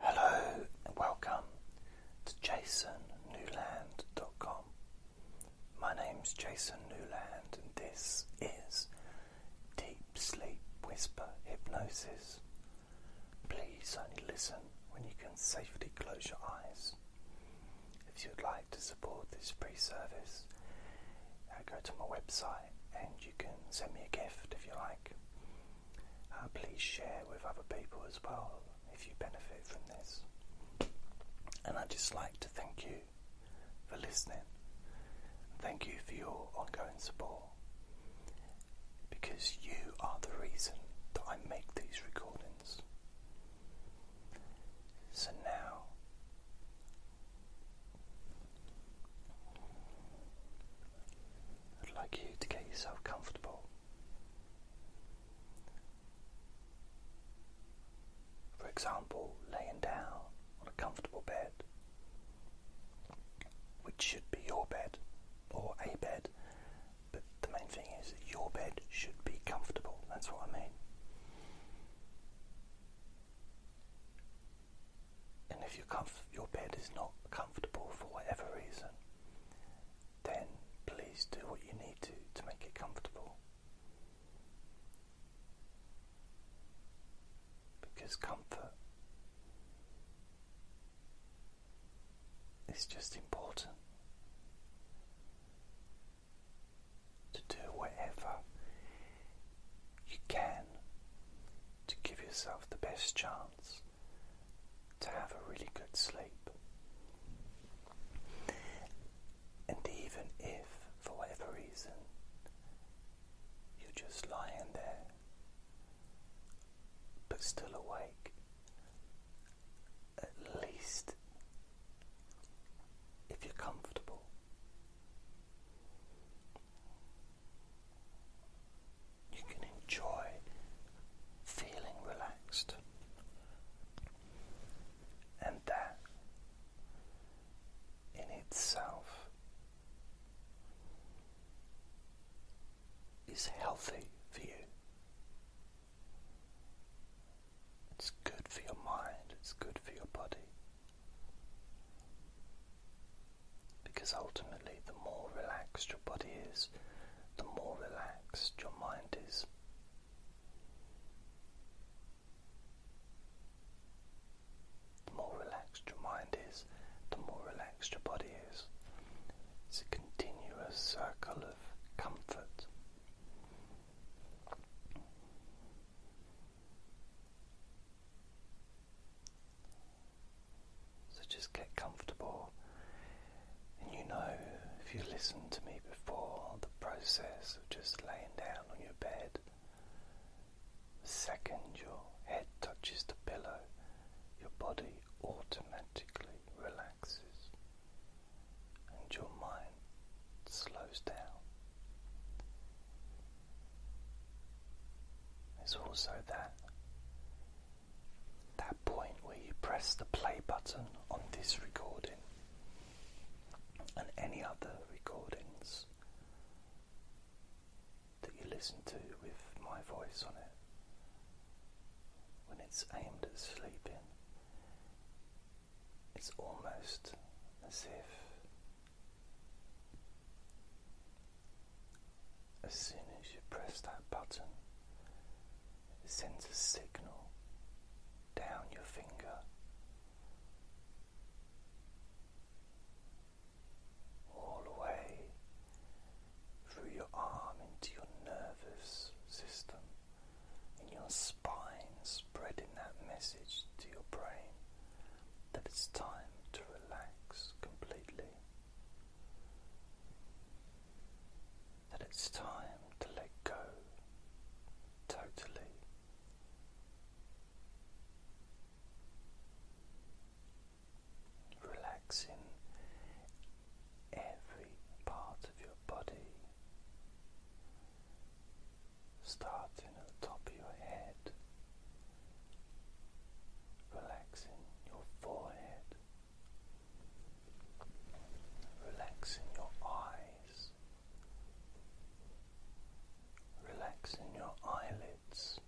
Hello and welcome to jasonnewland.com. My name's Jason Newland and this is Deep Sleep Whisper Hypnosis. Please only listen when you can safely close your eyes. If you would like to support this free service, uh, go to my website and you can send me a gift if you like. Uh, please share with other people as well if you benefit from this. And I'd just like to thank you for listening. Thank you for your ongoing support because you are the reason that I make these recordings. So now, I'd like you to get yourself comfortable. For example, laying down on a comfortable bed, which should be your bed or a bed, but the main thing is that your bed should be comfortable. That's what I mean. And if your, your bed is not comfortable for whatever reason, then please do what you need to to make it comfortable. Because comfort is just important to do whatever you can to give yourself the best chance to have a really good sleep. And even if, for whatever reason, you're just lying there but still awake, at least if you're comfortable you can enjoy feeling relaxed. And that in itself is healthy for you. It's good for your mind, it's good for your body. Because ultimately, the more relaxed your body is, the more relaxed your mind is. The more relaxed your mind is, the more relaxed your body is. It's a continuous circle of comfort. So just get comfortable. And you know, if you listened to me before, the process of just laying down on your bed, the second your head touches the pillow, your body automatically relaxes and your mind slows down. There's also that that point where you press the play button on this recording and any other recordings that you listen to with my voice on it when it's aimed at sleeping. It's almost as if as soon as you press that button, it sends a signal down your finger. All the way through your arm into your nervous system, in your spine, spreading that message to your brain that it's time to relax completely that it's time to let go totally. Relaxing every part of your body, starting at the top of your head, relaxing your forehead, relaxing your eyes, relaxing your eyelids,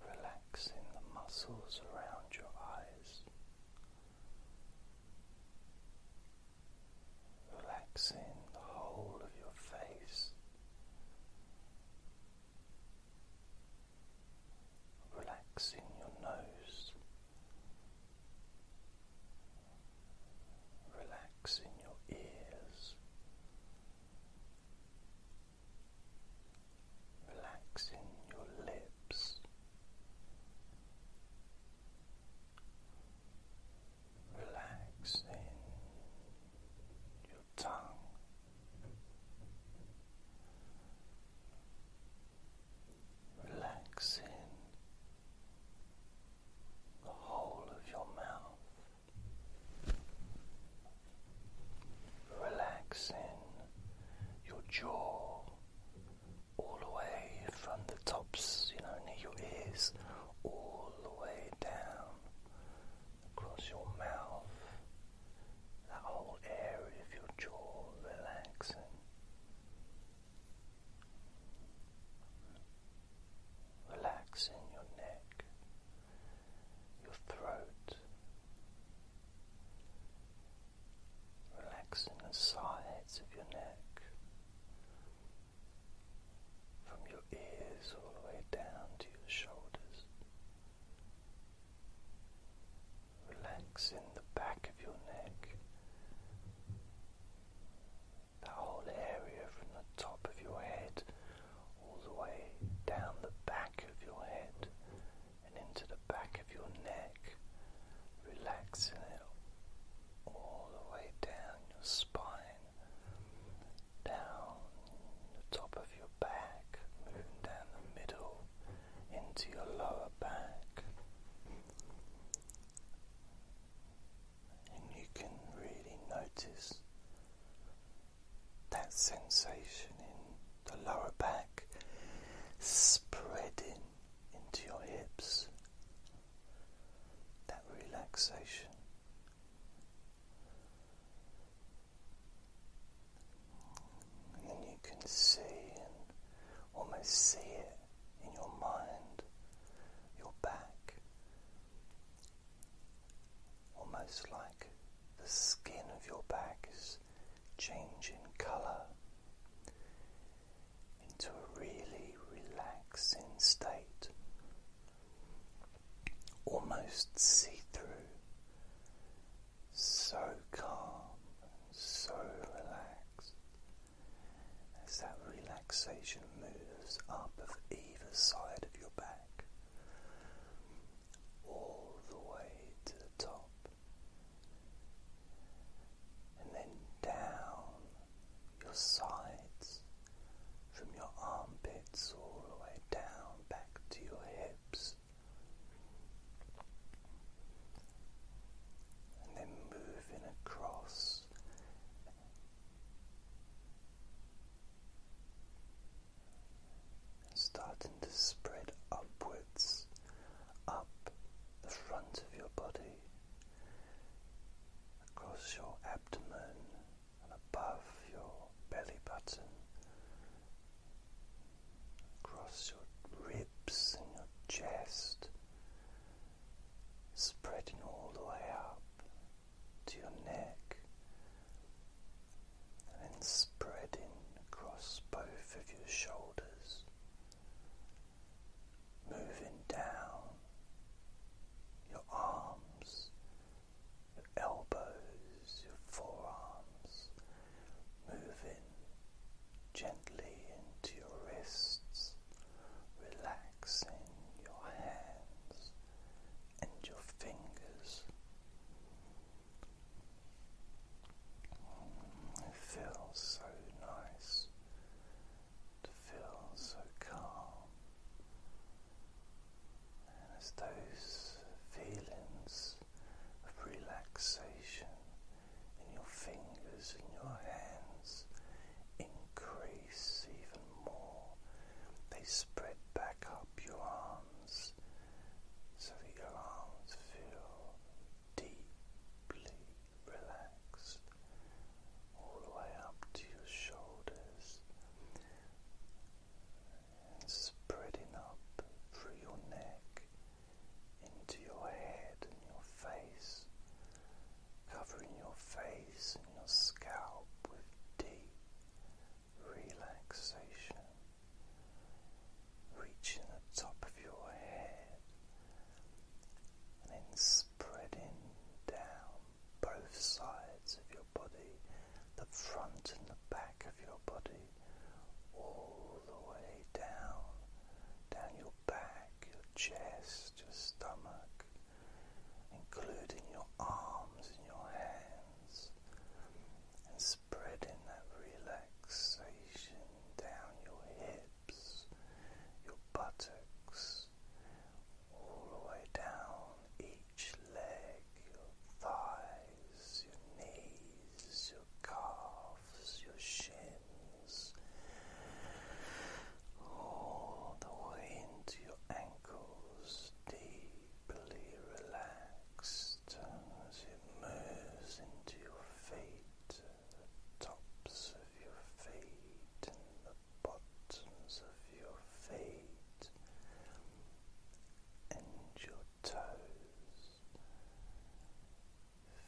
relaxing the muscles around your eyes. Relaxing the whole of your face, relaxing your nose, relaxing your ears, relaxing your lips. Relax in your tongue. Relaxing the whole of your mouth, relaxing your jaw all the way from the tops, you know, near your ears, all the way down across your mouth, that whole area of your jaw relaxing. Relaxing your neck, your throat, relaxing the sides of your neck, from your ears all the way down to your shoulders, relax in the back of your neck, the whole area from the top of your head all the way down the back of your head and into the back of your neck, Relax relaxing it all the way down your spine down the top of your back, moving down the middle into your lower back. And you can really notice that sensation in the lower back spreading into your hips, that relaxation and you can see almost see it in your mind, your back, almost like the skin of your back is changing colour into a really relaxing state almost see through, so calm and so relaxed. As that relaxation moves up of either side of your back, all the way to the top, and then down your sides from your armpits all the way down back to your hips. And then moving across and starting to spread upwards, up the front of your body, across your abdomen, above your belly button, across your ribs and your chest, spreading all the way up to your neck, and spreading across both of your shoulders, moving down your arms, your elbows, your forearms, moving gently into your wrists, relaxing your hands and your fingers. It feels so nice to feel so calm. And as those feelings of relaxation in your fingers and your hands increase even more, they spread back up your arms so that your arms feel deeply relaxed all the way up to your shoulders and spreading up through your neck into your head and your face, covering your face and your scalp with deep relaxation. Reaching the top of your head and then spreading down both sides of your body, the front and the back of your body, all the way down, down your back, your chest, your stomach, including your arms and your hands, and spreading that relaxation down your hips, your buttocks, all the way down each leg, your thighs, your knees, your calves, your shins, all the way into your ankles, deeply relaxed as it moves into your feet, the tops of your feet bottoms of your feet and your toes,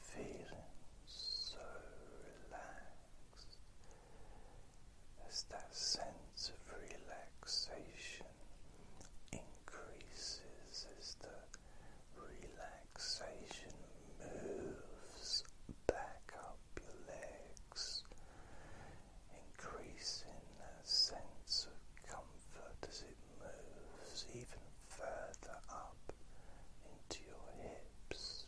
feeling so relaxed as that sense of relaxation increases as the relaxation moves back up your leg increasing that sense of comfort as it moves even further up into your hips,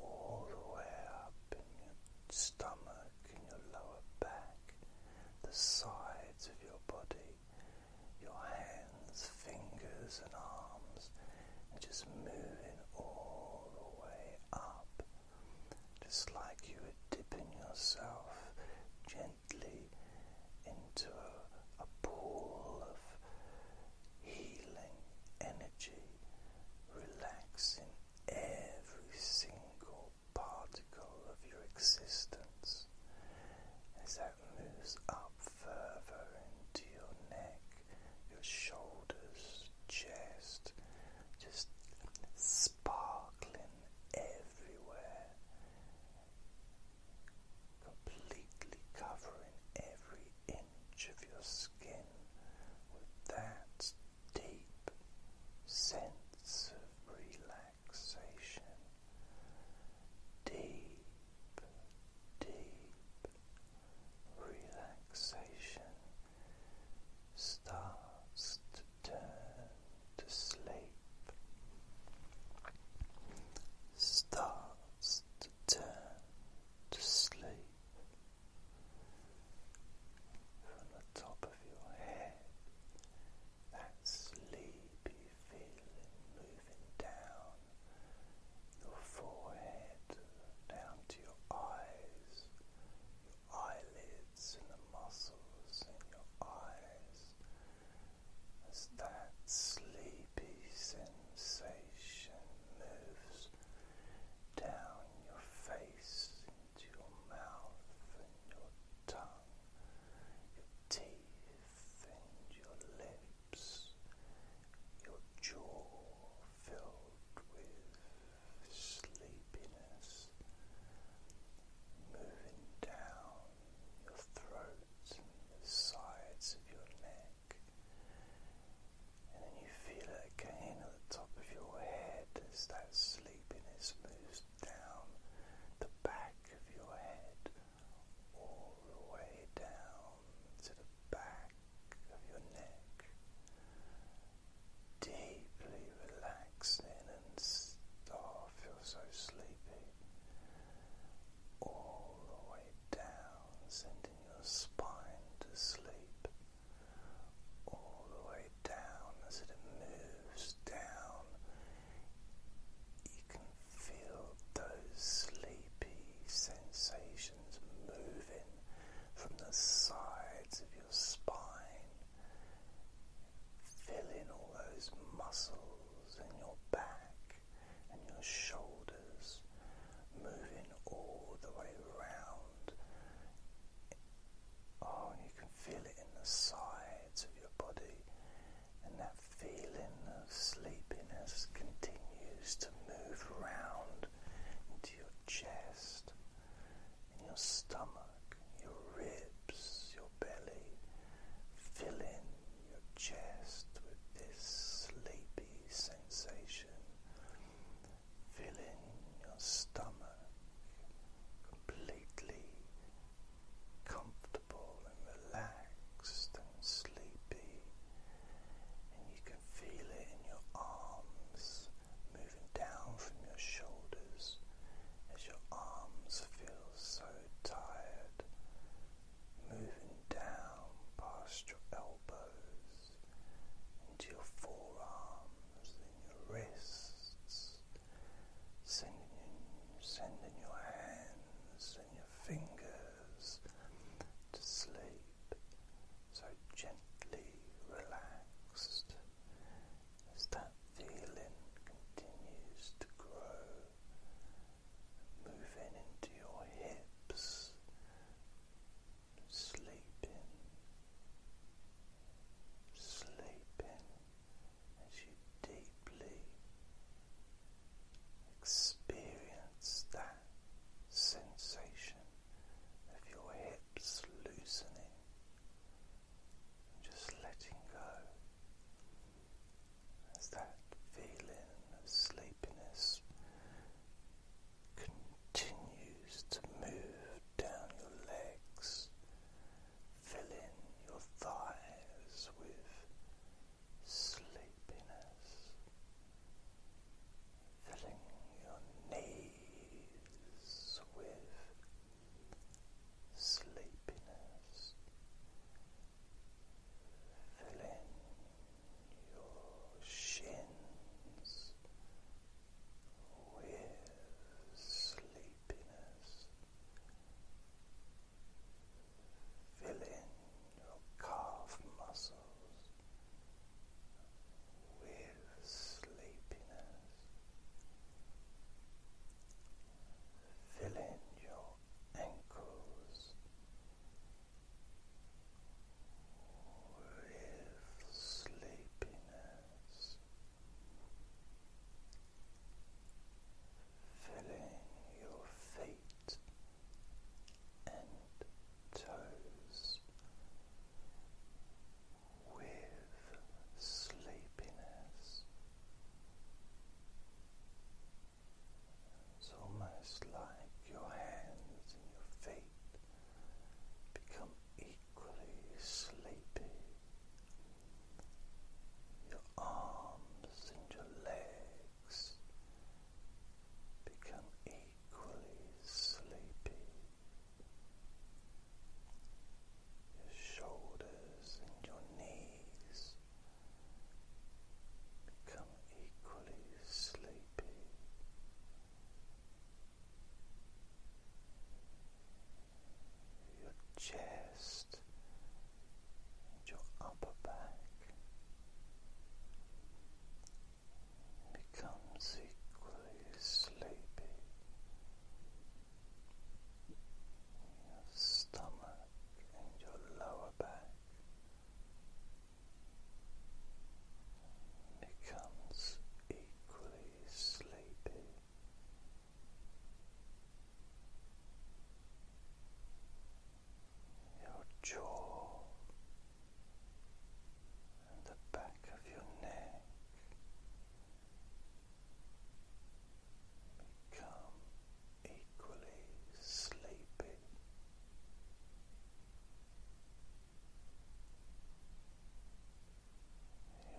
all the way up in your stomach and your lower back, the sides of your body, your hands, fingers, and arms just moving all the way up, just like you were dipping yourself gently into a, a pool of healing energy, relaxing every single particle of your existence as that moves up further into your neck your shoulders, chest, just sparkling everywhere, completely covering every inch of your skin with that deep sense of relaxation. Deep, deep relaxation starts to turn to sleep, starts to turn to sleep from the top of your head, that sleepy feeling moving down your forehead down to your eyes, your eyelids, and the muscles in your eyes as that sleepy sensation moves down your face into your mouth and your tongue, your teeth and your lips, your jaw filled with sleepiness moving down your throat the sides of your neck. And then you feel it again at the top of your head as that sleepiness moves down the back of your head all the way down to the back of your neck, deeply relaxing and oh, I feel so sleepy. All the way down, sending your spine to sleep. All the way down as it moves down, you can feel those sleepy sensations moving from the sides of your spine, filling all those muscles in your back and your shoulders, moving all the way around. Oh, you can feel it in the sides of your body, and that feeling of sleepiness continues to move around into your chest, in your stomach, your ribs, your belly. filling your chest with this sleepy sensation. filling your stomach completely comfortable and relaxed and sleepy, and you go feel it in your arms moving down from your shoulders as your arms feel so tired, moving down past your elbows into your forearms and your wrists, sending, sending your hands and your fingers to sleep, so gently relaxed as that feeling continues to grow, moving into your hips, sleeping, sleeping as you deeply. Experience that sensation of your hips loosening and just letting go as that feeling of sleepiness continues to move down your legs, filling your thighs with sleepiness filling your knees with sleepiness, filling your shins with sleepiness. Fill your calf muscles with sleepiness, filling your ankles with sleepiness. Filling your feet and toes with sleepiness. It's almost like your hands and your feet become equally sleepy. Your arms and your legs become equally sleepy. Your shoulders and your knees become equally sleepy. Your chest and your upper back becomes equally sleepy. Your stomach and your lower back becomes equally sleepy. Your jaw and the back of your neck become equally sleepy.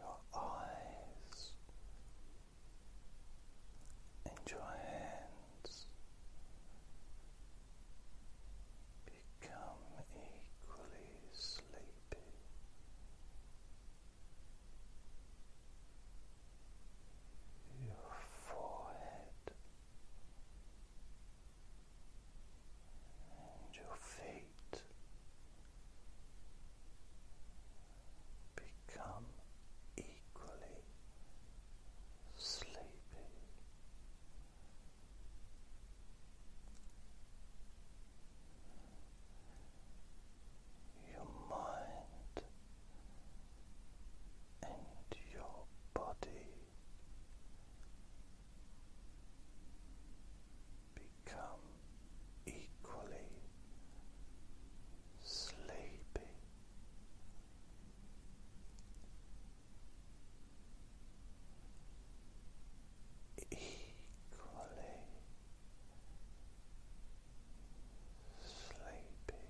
Your eyes and become equally sleepy. Your forehead and your feet become equally sleepy. Your mind and your body become equally sleepy equally sleepy. Sleepy,